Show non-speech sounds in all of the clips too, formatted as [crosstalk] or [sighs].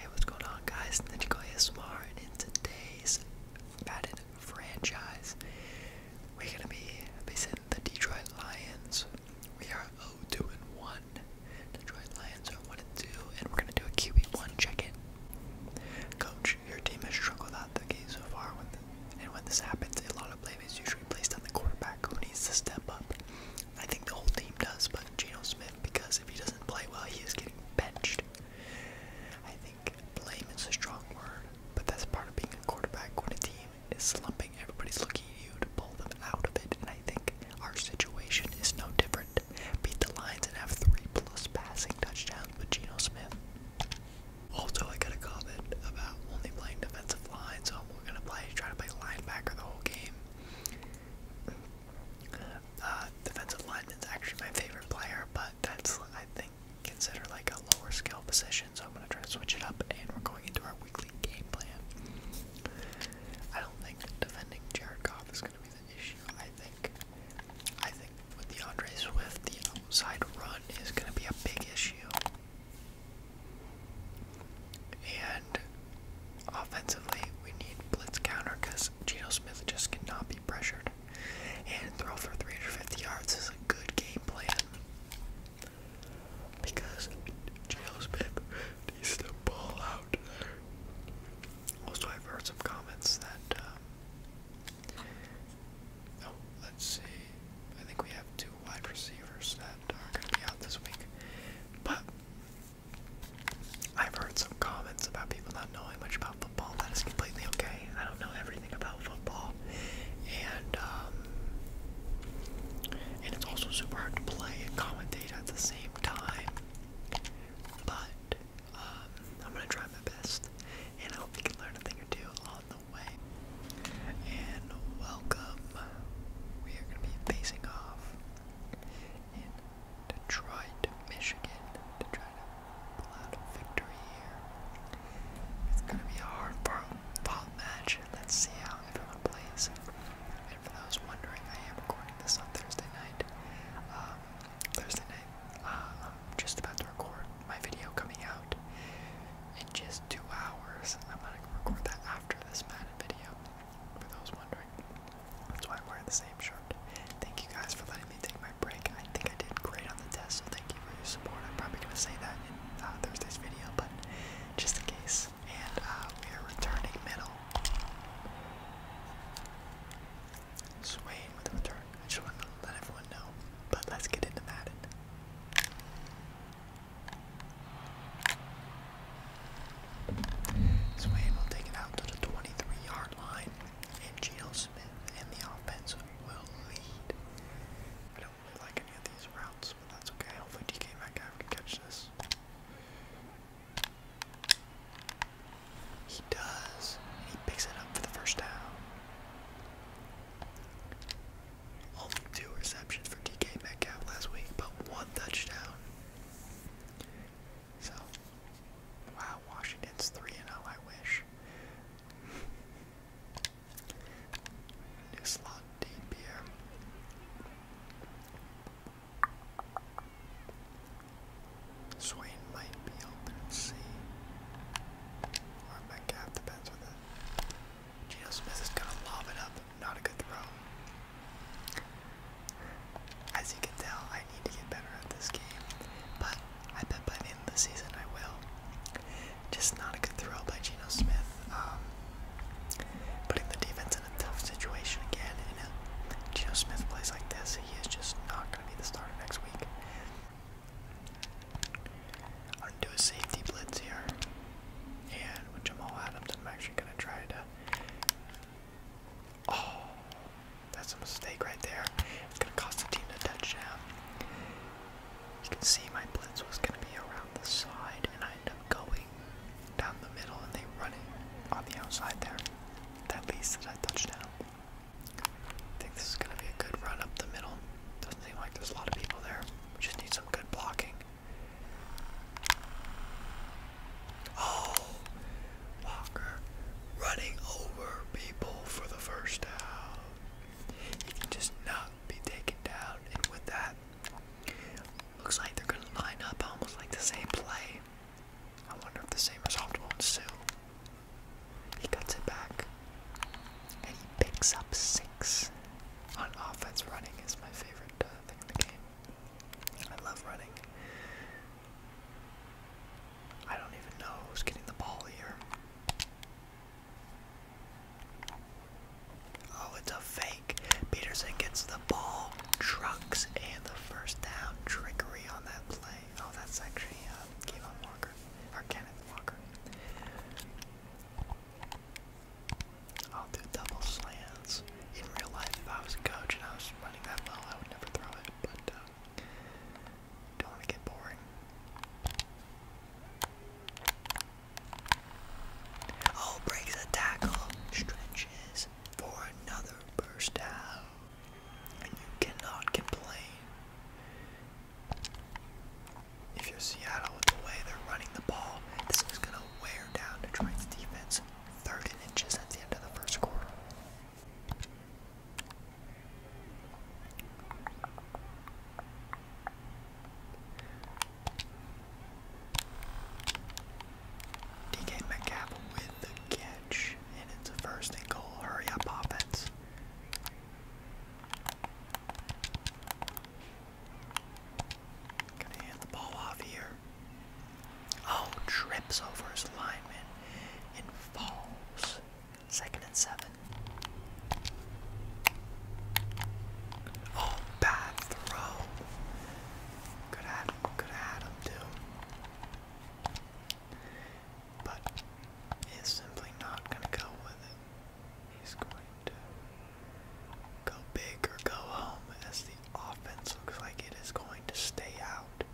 Hey, what's going on, guys? Ninjago Smar, and in today's Madden franchise, we're gonna be facing the Detroit Lions. We are o oh two and one Detroit Lions are 1-2, and, and we're gonna do a QB1 check-in. Coach, your team has struggled out the game so far, and when this happens, a lot of blame is usually placed on the quarterback who needs to step up. I think the whole team does, but Geno Smith, because if he doesn't play well, he is getting benched. I think blame is a strong word, but that's part of being a quarterback when a team is slumping. Everybody's looking at you to pull them out of it, and I think our situation is no different. Beat the Lions and have three plus passing touchdowns with Geno Smith. Also, I got a comment about only playing defensive lines. so I'm gonna play try to play linebacker the whole game. Uh, defensive lineman is actually my favorite player, but that's I think considered like a lower skill position, so I'm gonna try to switch it up and we're going into our weekly game plan. I don't think defending Jared Goff is gonna be the issue. I think I think with DeAndre Swift the outside run is gonna be a big issue. And Offensively, we need blitz counter because Geno Smith just cannot be pressured. And throw for 350 yards is a good game plan because Geno Smith needs to ball out. Also, I've heard some comments that. Um, oh, let's see. I think we have two wide receivers that are going to be out this week. But I've heard some comments about people not knowing much about football. That is completely okay. I don't know everything about football, and um, and it's also super hard to play and commentate at the same time. But um, I'm gonna try my best, and I hope you can learn a thing or two along the way. And welcome. We are gonna be facing off in Detroit, Michigan, to try to pull out a victory here. It's gonna be a hard fought match. Let's see how everyone plays. And for those wondering, I am recording this on Thursday night. Um, Thursday night, uh, just about to record my video coming out in just two hours. I'm gonna record that after this Madden video. For those wondering. That's why I'm wearing the same shirt. Thank you guys for letting me take my break. I think I did great on the test, so thank you for your support. I'm probably going to say that in uh, Thursday's video, but just in case. And uh, we are returning middle. Swaying with a return. I just want to let everyone know. But let's get into that. Swain will take it out to the 23-yard line, and Geno Smith and the offense will lead. I don't really like any of these routes, but that's okay. Hopefully DK Metcalf can catch this. He does. He picks it up for the first down. Only two receptions for DK Metcalf last week, but one touchdown. So, wow, Washington's 3 0, I wish. New slot deep Swain might be open, we Or Metcalf, depends on the. Geno is gonna lob it up, not a good throw. As you can tell, I need to get better at this game, but I bet by the end of the season I will. Just not a good throw by Geno Smith. Um, putting the defense in a tough situation again, and if Geno Smith plays like this, he is just not going to be the starter next week. I'm going to do a safety blitz here, and with Jamal Adams, I'm actually going to try to Oh, that's a mistake right there. It's going to cost the team a touchdown. You can see my blitz was going to be around the side, and I end up going down the middle, and they run it on the outside there. That leads to that touchdown. I think this is going to be a good run up the middle. Doesn't seem like there's a lot of people there. We just need some good blocking. Oh, Walker running over people for the first down. He can just not be taken down, and with that, looks like they're gonna line up almost like the same play. I wonder if the same result won't ensue. He cuts it back, and he picks up six on offense. Running is my favorite uh, thing in the game. I love running. I don't even know who's getting the ball here. Oh, it's a fake. Peterson gets the ball, trucks, and the first down. Trickery on that play. Oh, that's actually Kevin Walker, or Kenneth Walker. I'll do double slants. In real life, if I was a coach and I was running that ball, I would never throw it, but uh, don't want to get boring. Oh, breaks a tackle, stretches for another burst out, and you cannot complain. If you're Seattle with the way they're running the ball, this is gonna wear down Detroit's defense third inches at the end of the first quarter. DK McCapp with the catch, and it's a first and goal. Hurry up, offense. Gonna hand the ball off here. Oh, trips over his lineman and falls. Second and seven. Oh, bad throw. Good at him, good at him too. But it's simply not gonna go with it. He's going to Go big or go home as the offense looks like it is going to stay out.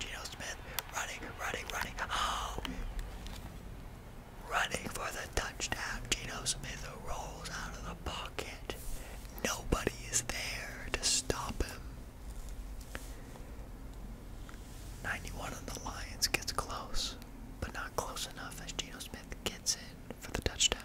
Geno Smith running, running, running. Oh! Running for the touchdown. Geno Smith rolls out of the box. Nobody is there to stop him. 91 on the Lions gets close, but not close enough as Geno Smith gets in for the touchdown.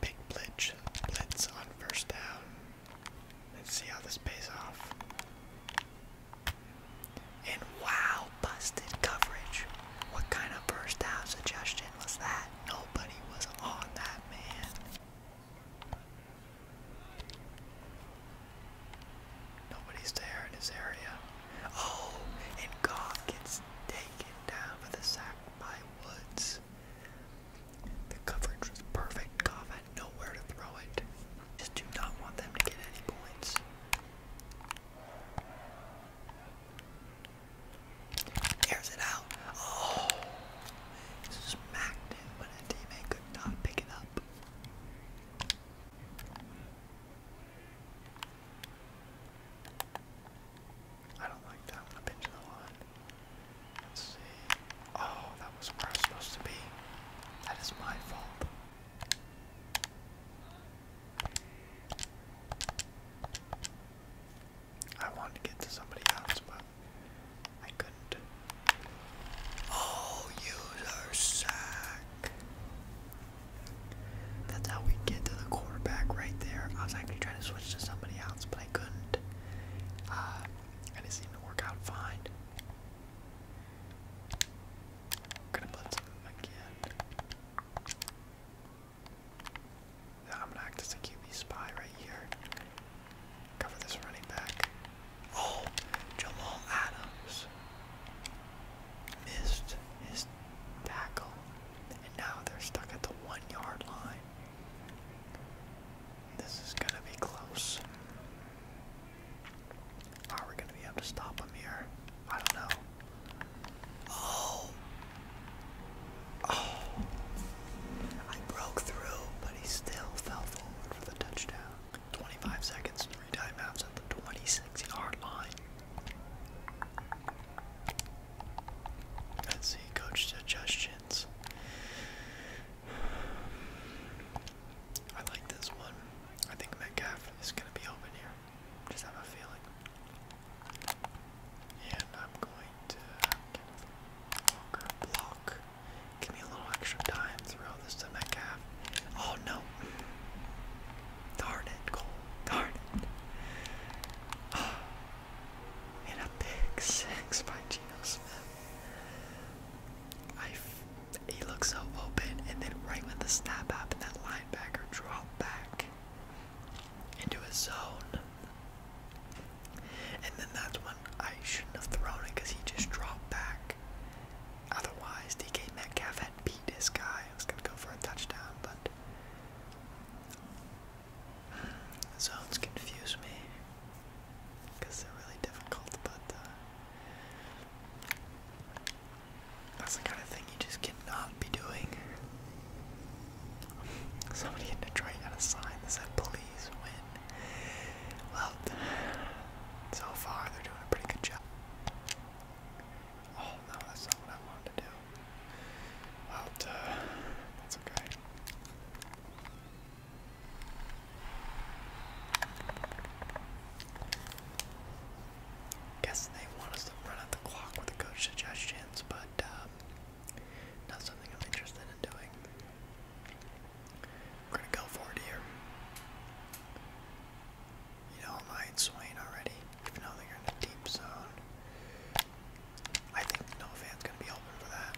Big blitz, blitz on first down. Let's see how this pays off. And wow, busted coverage. What kind of first down suggestion was that? Nobody was on that man. Nobody's there in his area. Oh, and Goff gets taken down for the sack by Woods. The coverage was perfect. Goff had nowhere to throw it. Just do not want them to get any points. Airs it out. Oh, smacked it, but a teammate could not pick it up. I don't like that. I'm gonna pinch the one. Let's see. Oh, that was where I was supposed to be. That is my fault. I wanted to get to somebody else, but I couldn't. Oh, user sack. That's how we get to the quarterback right there. I was actually trying to switch to somebody else, but I couldn't. Uh, and it to work out fine. gonna blitz again. I'm gonna act as a QB spy right here. Cover this running back. Oh, Jamal Adams missed his tackle, and now they're stuck at the one-yard line. This is gonna be close. Are we gonna be able to stop him here? I don't know. Oh. Oh. I broke through, but he still fell forward for the touchdown. 25 seconds, three timeouts at the 26 yard line. Let's see, coach suggestions. I like this one. I think Metcalf is going to be open here. Just have a feeling. And I'm going to block. Give me a little extra time throughout this to Metcalf. Oh no. Darn it, goal. Darn [sighs] And a pick six by Geno Smith. I f he looks so open, and then right when the snap happened, that linebacker dropped back into a zone. And then that's when I shouldn't have thrown it because he just dropped back. Otherwise, DK Metcalf had beat this guy. I was going to go for a touchdown, but. The zones confuse me because they're really difficult, but. Uh, that's the kind of thing you just cannot be doing. Somebody in Detroit had a sign that said "Please win." Well, so far they're doing a pretty good job. Oh no, that's not what I wanted to do. Well, that's okay guess they want us to run out the clock with the coach suggestions, but um, not something I'm interested in doing. gonna go for it here. You know, I'm Swain already, even though they're in the deep zone. I think no fan's gonna be open for that.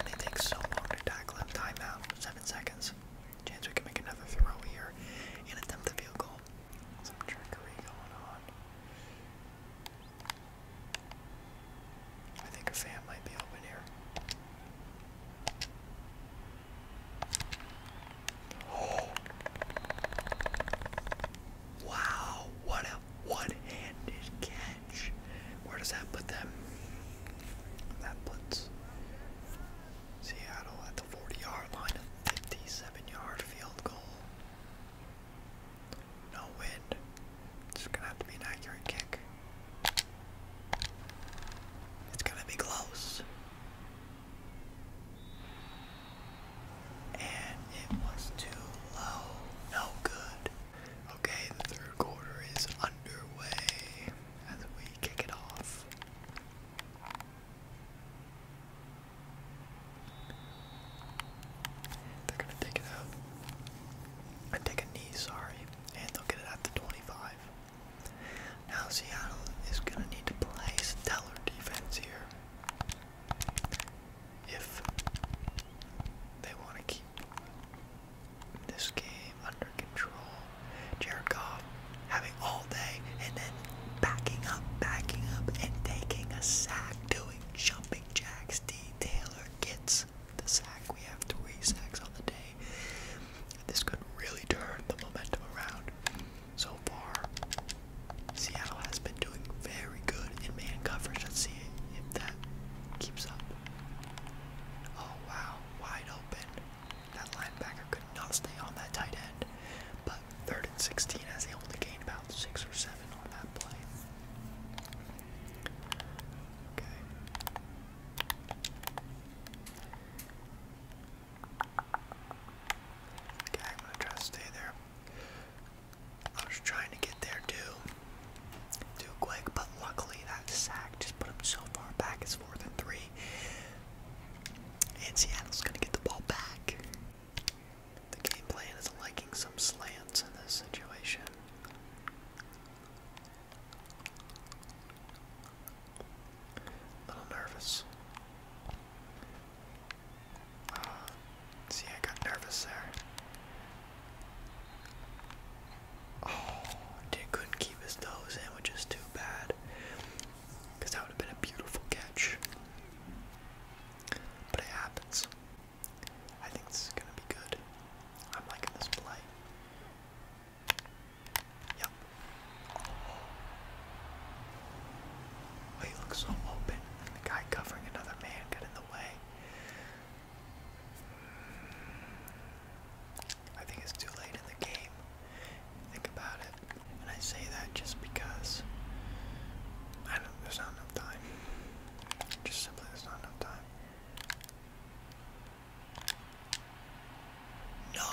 And they take so long to tackle him. Timeout, seven seconds. Chance we can make another throw here and attempt the field goal. Some trickery going on. I think a fan might be open here. Wow, what a one-handed catch. Where does that put them? That puts Seattle at the 40-yard line 57 yard field goal. No wind. It's gonna have to be an accurate kick. It's gonna be close. And it was too low. No good. Okay, the third quarter is underway as we kick it off. They're gonna take it out. And take a knee, sorry. And they'll get it at 25. Now Seattle is gonna need to play stellar defense here. If they want to keep this game under control, Jared Goff having all day, and then backing up, backing up, and taking a sack, doing jumping jacks. Detailer gets the sack. We have three sacks on the day. This could really turn the momentum around. So far, Seattle has been doing very good in man coverage. Let's see if that keeps up. Oh wow, wide open. That linebacker could not stay on that tight end. But third and 16 as they only gained about six or seven on that play. Okay. Okay, I'm gonna try to stay there. I was trying to get there too, too quick, but luckily that sack just put him so far back. It's fourth and three. And Seattle's going to get the ball back. The game plan is liking some slants in this situation. A little nervous. Uh, see, I got nervous there. Oh, dude couldn't keep his nose in, which is too bad. Because that would have been a beautiful catch. But it happens. I think this is going to be good. I'm liking this play. Yep. Oh, he looks so open. the guy covering another man got in the way. I think it's too late in the game. Think about it. And I say that just because I don't there's not enough time. Just simply there's not enough time. No!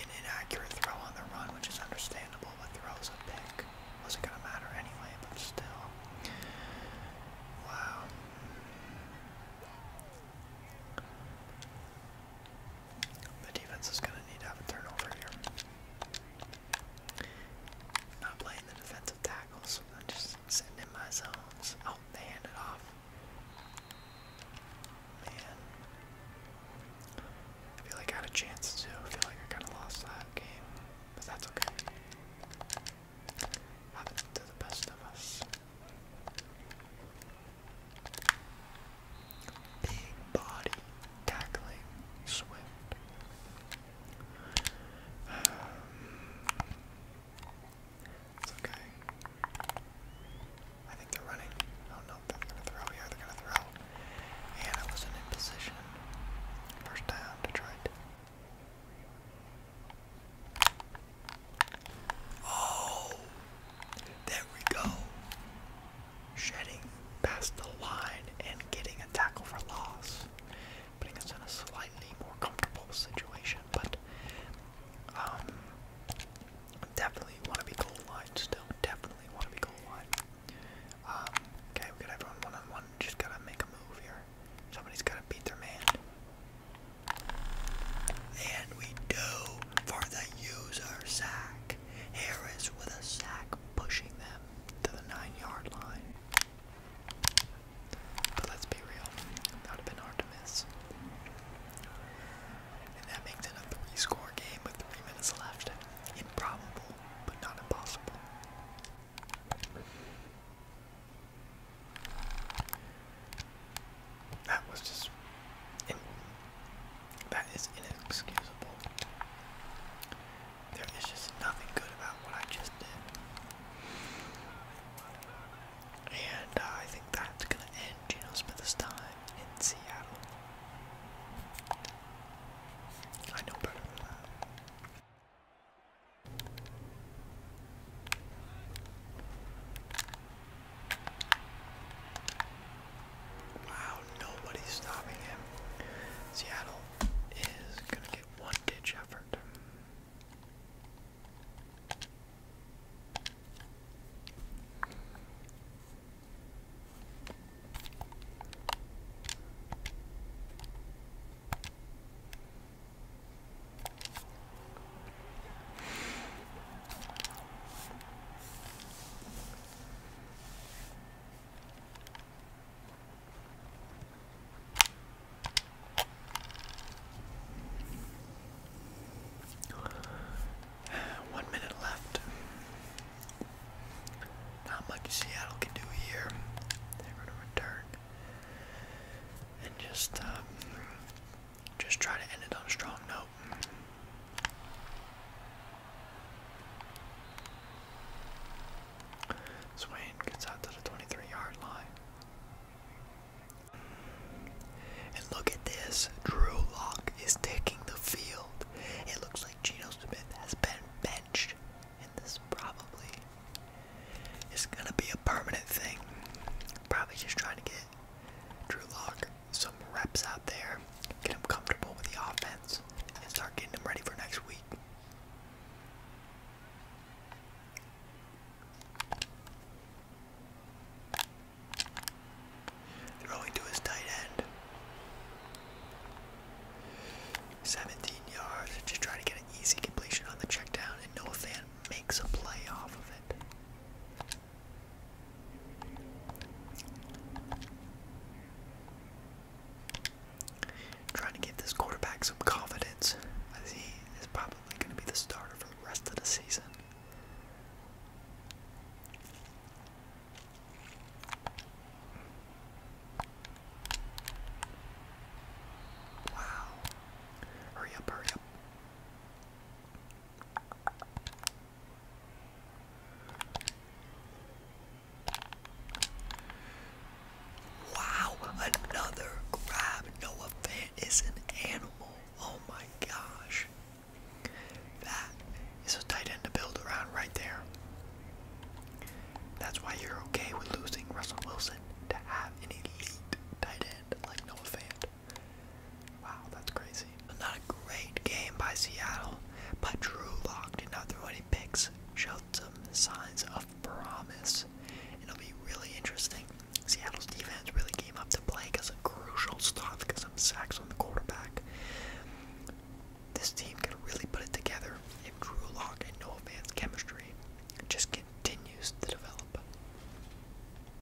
An inaccurate throw on the run, which is understandable, but throws a pick. Wasn't gonna matter anyway, but still. Wow. The defense is going to need to have a turnover here. Not playing the defensive tackles, just sitting my zones. Oh, they hand it off. Man. I feel like I had a chance to. I feel like I kind of lost that game, but that's okay. Happened to the best of us. Big body tackling Swift. Um, okay. I think they're running. Oh no, they're gonna throw here, they're gonna throw. And I wasn't in position. First down, Detroit. Oh there we go. Shedding past the line and getting a tackle for loss. Putting us in a slightly more comfortable situation, but um, definitely want to be goal line still. Definitely want to be goal line. Um, okay, we got everyone one on one. Just gotta make a move here. Somebody's gotta beat their man. And we do for the user sack. Harris with a sack pushing them to the nine yard line. But let's be real, that would have been hard to miss. And that makes it a three score game with three minutes left. Improbable, but not impossible. That was just. In, that is inexcusable. There is just nothing good about what I just did. And uh, I think that's going to end Geno Smith's time in Seattle. I know better than that. Wow, nobody's stopping him. Seattle is going to get one ditch effort. [sighs] One minute left. Not much Seattle can do here. They're going to return and just um, just try to end it on a strong note. Swain gets out to the 23 yard line. And look at this. Drew Locke is taking the field. It looks like Geno Smith has been benched. And this probably is going to be a permanent thing. Probably just trying to get Drew Lock some reps out there, get him comfortable with the offense, and start getting him ready for next week. Throwing to his tight end. 17 yards. Just try to get an easy completion on the check and Noah Fan makes a play off of it. Trying to give this quarterback some confidence as he is probably going to be the starter for the rest of the season. Wow. Hurry up, hurry up. Wow, another grab. Noah Fant is an animal. Oh my gosh. That is a tight end to build around right there. That's why you're okay with losing Russell Wilson to have an elite tight end like Noah Fant. Wow, that's crazy. Not a great game by Seattle, but Drew Lock did not throw any picks, showed some signs of promise. It'll be really interesting. Seattle's defense really came up to play because of crucial stuff, because of sacks on the quarterback. This team can really put it together if Drew Lock and Noah Van's chemistry just continues to develop.